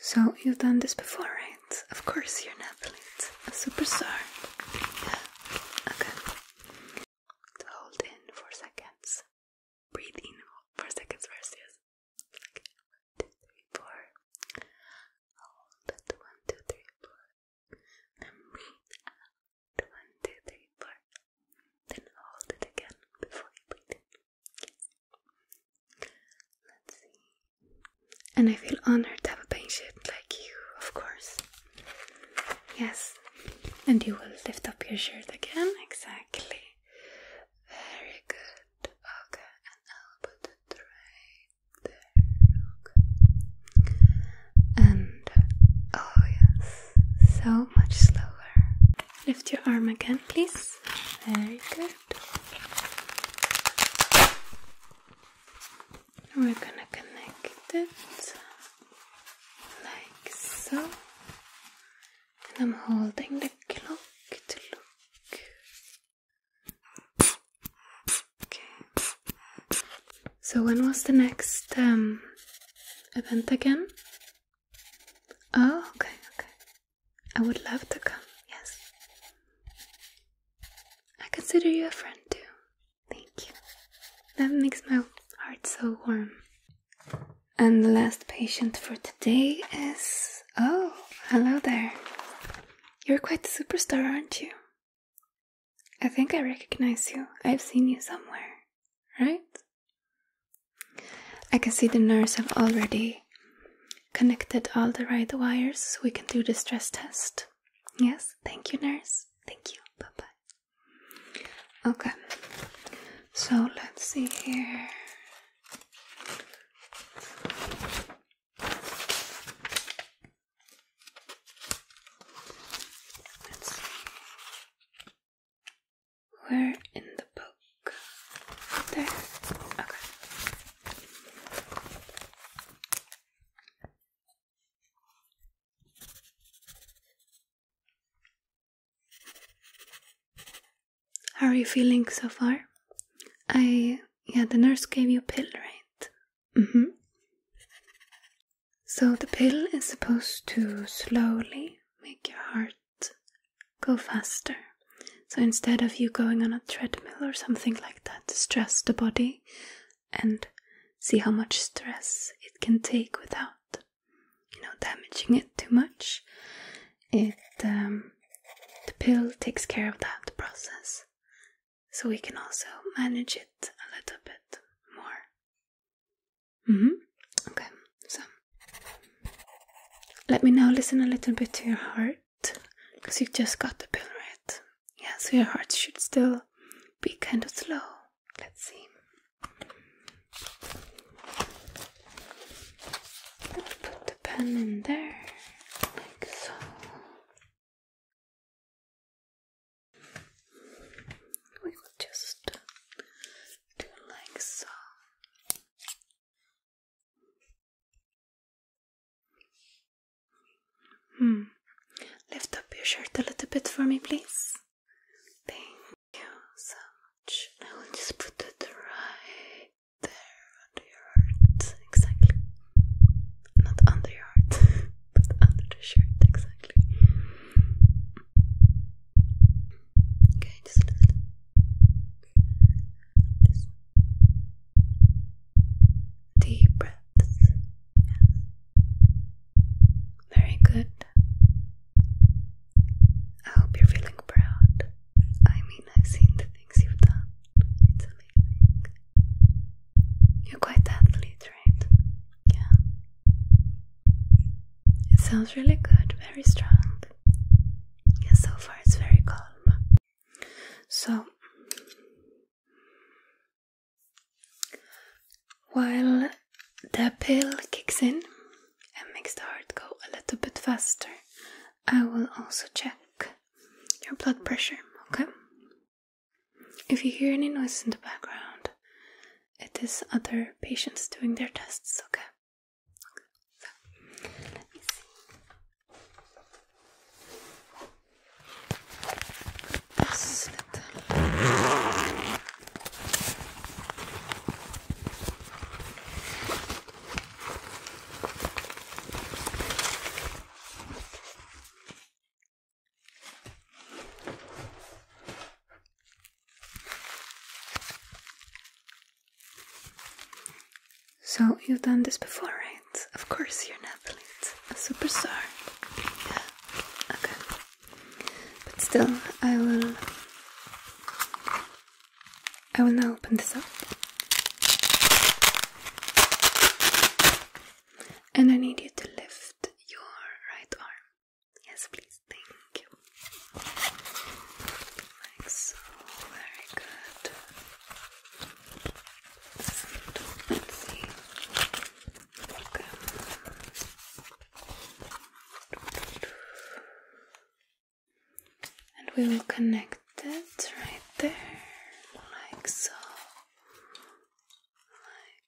So, you've done this before, right? Of course, you're an athlete, a superstar. Okay. So hold in for seconds. Breathe in for seconds first, Okay. One, two, three, four. Hold it. One, two, three, four. Then breathe out. One, two, three, four. Then hold it again before you breathe in. And I feel honored to have a patient like you, of course. Yes. And you will lift up your shirt again. Exactly. Very good. Okay. And I'll put the tray there. Okay. And oh, yes. So much slower. Lift your arm again, please. Very good. We're gonna connect it like so. And I'm holding the clock Okay. So when was the next um, event again? Oh, okay, okay. I would love to come, yes. I consider you a friend too. Thank you. That makes my heart so warm. And the last patient for today is. Oh, hello there. You're quite a superstar, aren't you? I think I recognize you. I've seen you somewhere, right? I can see the nurse have already connected all the right wires so we can do the stress test. Yes, thank you, nurse. Thank you. Bye bye. Okay, so let's see here. Where in the book? There. Okay. How are you feeling so far? I yeah, the nurse gave you a pill, right? Mm-hmm. So the pill is supposed to slowly make your heart go faster. So instead of you going on a treadmill or something like that to stress the body and see how much stress it can take without, you know, damaging it too much, it um, the pill takes care of that process. So we can also manage it a little bit more hmm Okay, so let me now listen a little bit to your heart because you just got the pill, right? Yeah, so your heart should still be kind of slow. Let's see. put the pen in there, like so. We will just do like so. Hmm. Lift up your shirt a little bit for me, please. Thank you so much. I will just put it right there under your heart. Exactly. Not under your heart, but under the shirt, exactly. Okay, just a little. This deep breaths. Very good. I hope you're feeling proud. I mean, I've seen the things you've done. You're quite athlete, right? Yeah. It sounds really good, very strong. And so far, it's very calm. So, while the pill kicks in and makes the heart go a little bit faster, I will also check your blood pressure, okay? If you hear any noise in the background, it is other patients doing their tests, okay? So, you've done this before, right? Of course, you're an athlete, a superstar. Yeah, okay. But still, I will. I will now open this up. And I need you to lift your right arm Yes, please. Thank you. Like so. Very good. And let's see. Okay. And we will connect it right there, like so, like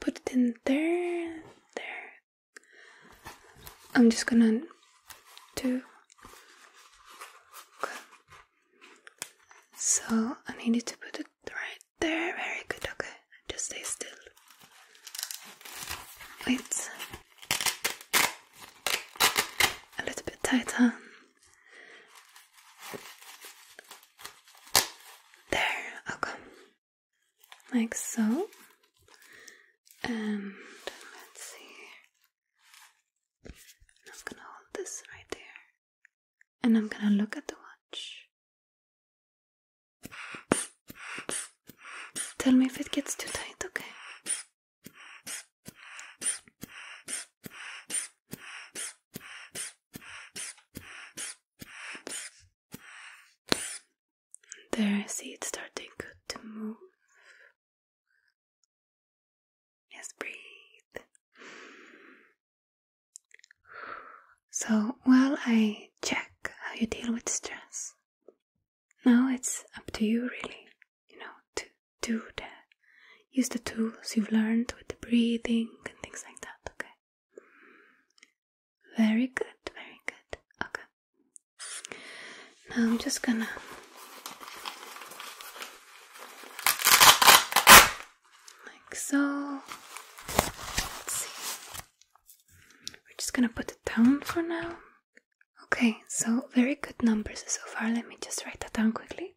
Put it in there, there. I'm just gonna do. Okay. So I needed to put it right there. Very good. Okay, just stay still. Wait. A little bit tighter. There, okay like so. And let's see. I'm gonna hold this right there. And I'm gonna look at the watch. Tell me if it gets too tight, okay? There, I see it starting good to move. Yes, breathe. So while I check how you deal with stress, now it's up to you really, you know, to do that. Use the tools you've learned with the breathing and things like that, okay? Very good, very good. Okay. Now I'm just gonna like so. We're just gonna put it down for now. Okay, so very good numbers so far. Let me just write that down quickly.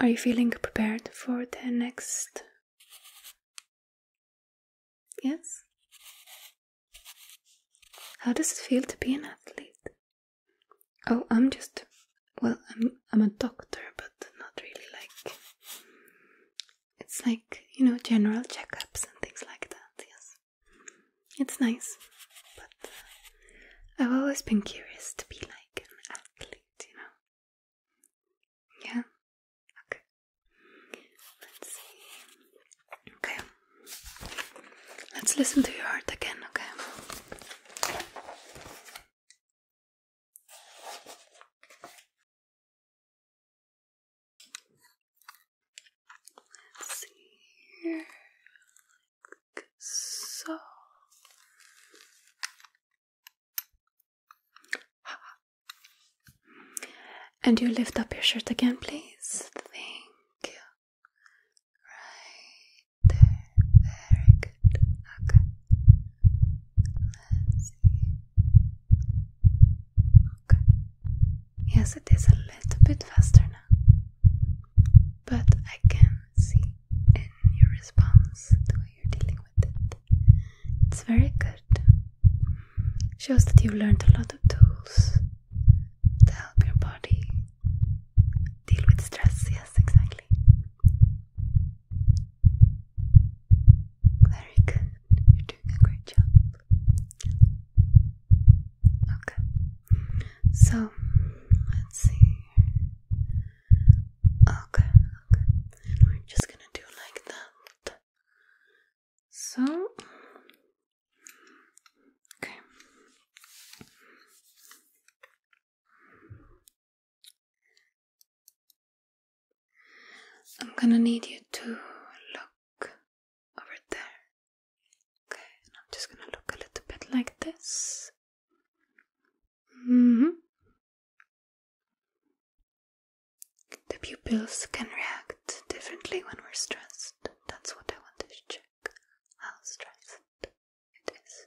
Are you feeling prepared for the next? Yes? How does it feel to be an athlete? Oh, I'm just well, I'm I'm a doctor, but not really like it's like, you know, general checkups and things like that, yes it's nice, but uh, I've always been curious to be like an athlete, you know? Yeah? Okay. Let's see. Okay. Let's listen to your heart again, okay? Let's see here. And you lift up your shirt again, please. Thank you. Right Very good. Okay. Okay. Yes, it is a little bit faster now but I can see in your response the way you're dealing with it. It's very good. Shows that you've learned a lot of tools to help your body deal with stress. Yes, exactly. Very You're doing a great job. Okay. So let's see. Okay, we're just gonna do like that. So okay. I'm gonna need you to look over there. Okay, I'm just gonna look a little bit like this. Mm-hmm. The pupils can react differently when we're stressed. That's what I want to check. How stressed it is.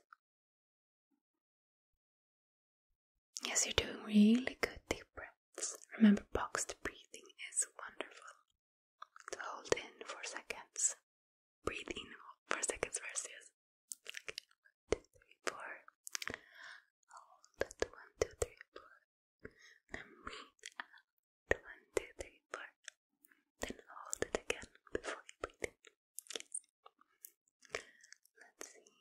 Yes, you're doing really good deep breaths. Remember, boxed breathing is wonderful to hold in for seconds. Breathe in for seconds versus one, two, three, four. Hold it one, two, three, four. Then breathe out one, two, three, four. Then hold it again before you breathe in. Let's see.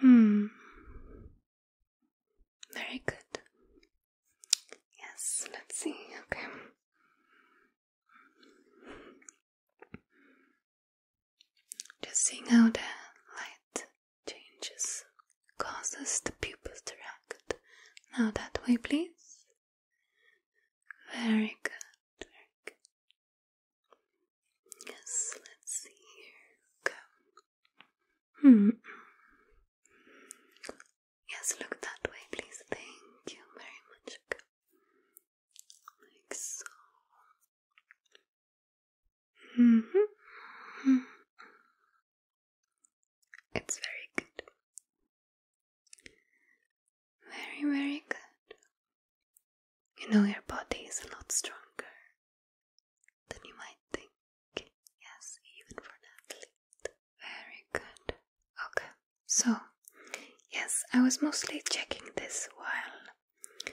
Hmm. Very good. Yes, let's see. Okay. Just seeing how the light changes causes the pupils to react. Now that way, please. Very good. Very good. Yes, let's see here. Go. Hmm. Yes, look that way, please. Thank you very much. Like so. Mm hmm. It's very good. Very, very good. You know, your body is a lot stronger than you might think. Yes, even for an Very good. Okay, so yes, I was mostly checking this while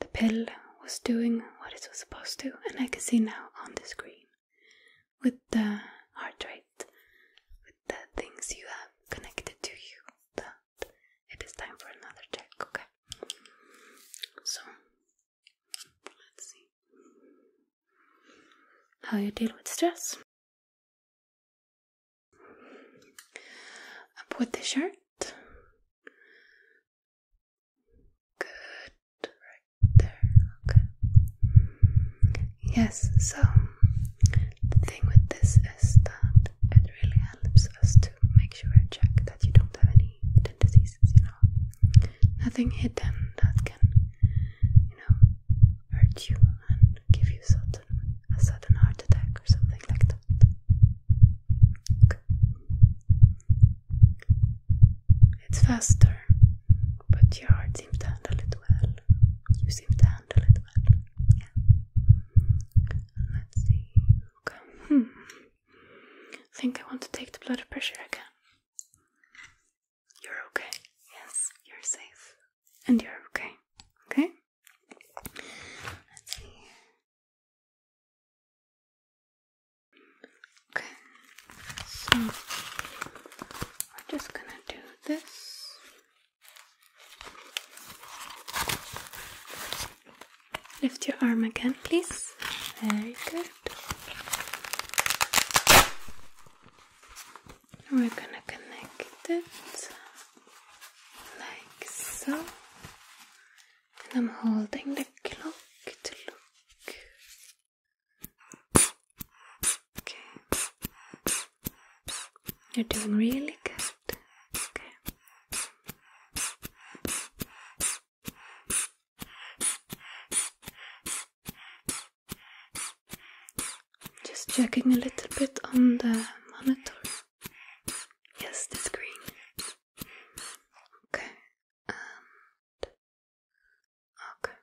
the pill was doing what it was supposed to, and I can see now on the screen with the heart rate, with the things you have connected to you, that it is time for another check. Okay, so Let's see how you deal with stress. Up with the shirt. Good, right there. Okay. Yes, so the thing with this is that it really helps us to make sure and check that you don't have any hidden diseases, you know nothing hidden that can, you know, hurt you and give you sudden, a sudden heart attack or something like that. It's faster, but your heart seems to handle it well. You seem to handle it well. Yeah. Let's see. Okay. I think I want to take the blood pressure again. You're okay. Yes, you're safe. And you're okay. Okay? Let's see. Okay, so we're just gonna do this. Lift your arm again, please. Very good. We're gonna connect it like so. And I'm holding the clock to look. Okay. You're doing really good. Okay. Just checking a little bit on the monitor. Yes, the screen. Okay, okay.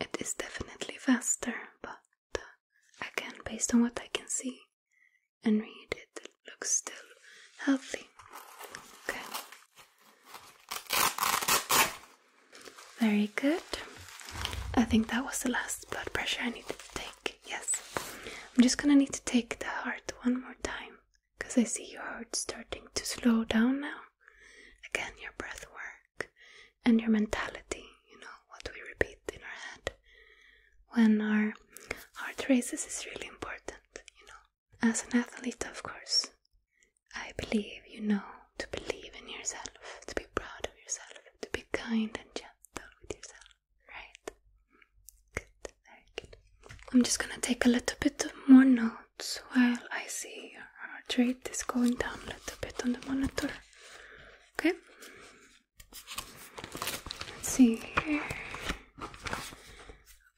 It is definitely faster, but uh, again, based on what I can see, and read it. looks still healthy. Okay. Very good. I think that was the last blood pressure I need to take. Yes. I'm just gonna need to take the heart one more time because I see your heart starting to slow down now. Again, your breath work and your mentality, you know, what we repeat in our head when our heart races is really important, you know. As an athlete, of course, I believe you know to believe in yourself, to be proud of yourself, to be kind and gentle with yourself, right? I'm just gonna take a little bit of more notes while I see our heart rate is going down a little bit on the monitor. Okay? Let's see here.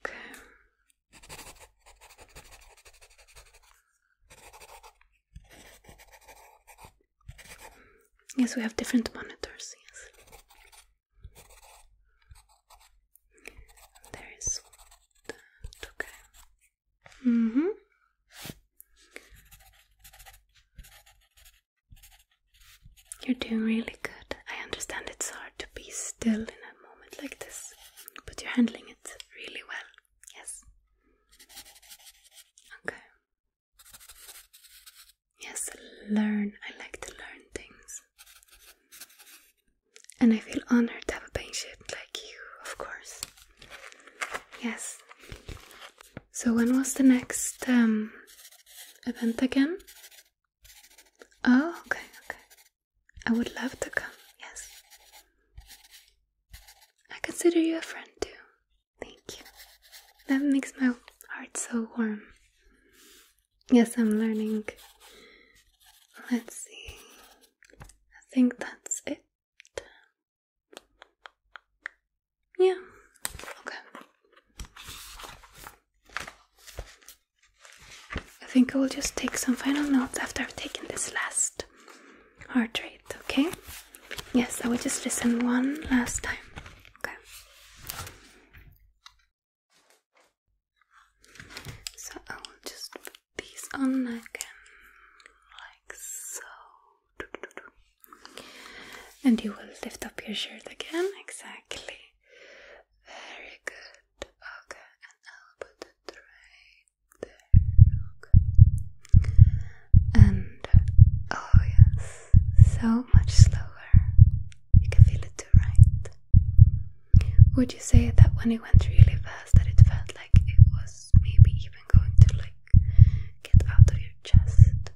Okay. Yes, we have different monitors, yes. There is okay. Mm-hmm. You're doing really good. I understand it's hard to be still in a moment like this, but you're handling it really well. Yes. Okay. Yes, learn. I like to learn things. And I feel honored to have a patient like you, of course. Yes. So when was the next um, event again? Oh, okay, okay. I would love to come, yes. I consider you a friend too. Thank you. That makes my heart so warm. Yes, I'm learning. Let's see. I think that's it. Yeah. Okay. I think I will just take some final notes after I've taken this last heart rate, okay? Yes, I will just listen one last time. Okay. So I will just put these on again, like so. And you will lift up your shirt again, exactly. Very good. Okay, and I'll put it right there. Okay. And oh, yes, so much slower. You can feel it right? Would you say that when it went really fast, that it felt like it was maybe even going to like get out of your chest?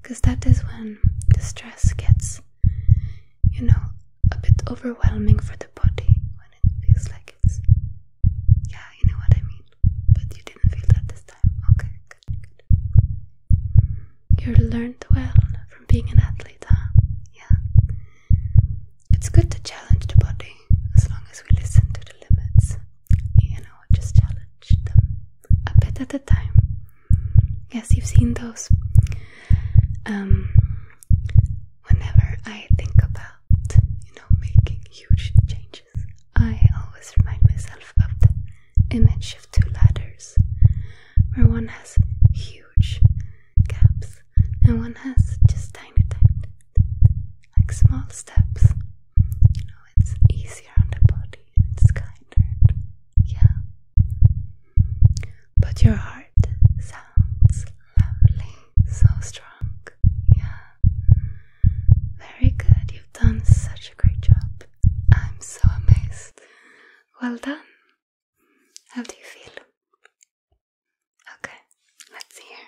because that is when the stress gets, you know, a bit overwhelming for the body when it feels like it's. Yeah, you know what I mean. But you didn't feel that this time. Okay, good, good. You learned well from being an athlete, huh? Yeah. It's good to challenge the body as long as we listen to the limits you know, just challenge them a bit at a time. Yes, you've seen those. Um, whenever I think about, you know, making huge changes, I always remind myself of the image of two ladders, where one has huge gaps and one has just tiny, tiny, like small steps. You know, it's easier on the body it's kinder. Yeah. But your heart sounds lovely, so strong. Yeah. Very good. You've done such a great job. I'm so amazed. Well done. How do you feel? Okay, let's hear.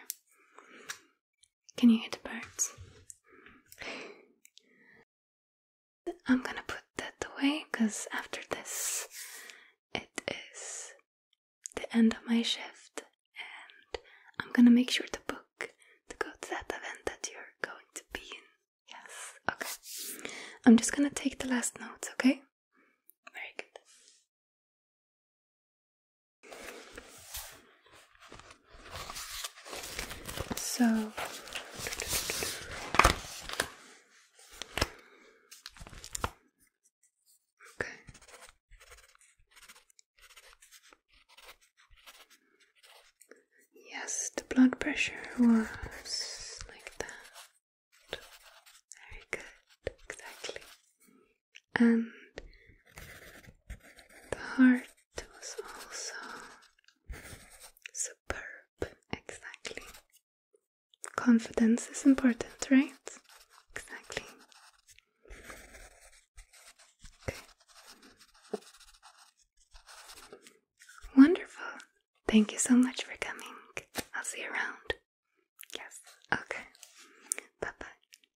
Can you hear the birds? I'm gonna put that away because after this, it is the end of my shift, and I'm gonna make sure to book to go to that event that you're going to be in. Yes, okay. I'm just gonna take the last notes, okay? Very good. So Okay. Yes, the blood pressure was like that. Very good, exactly and the heart was also superb, exactly. Confidence is important, right? Exactly. Okay. Wonderful. Thank you so much for coming. I'll see you around. Yes. Okay. Bye bye.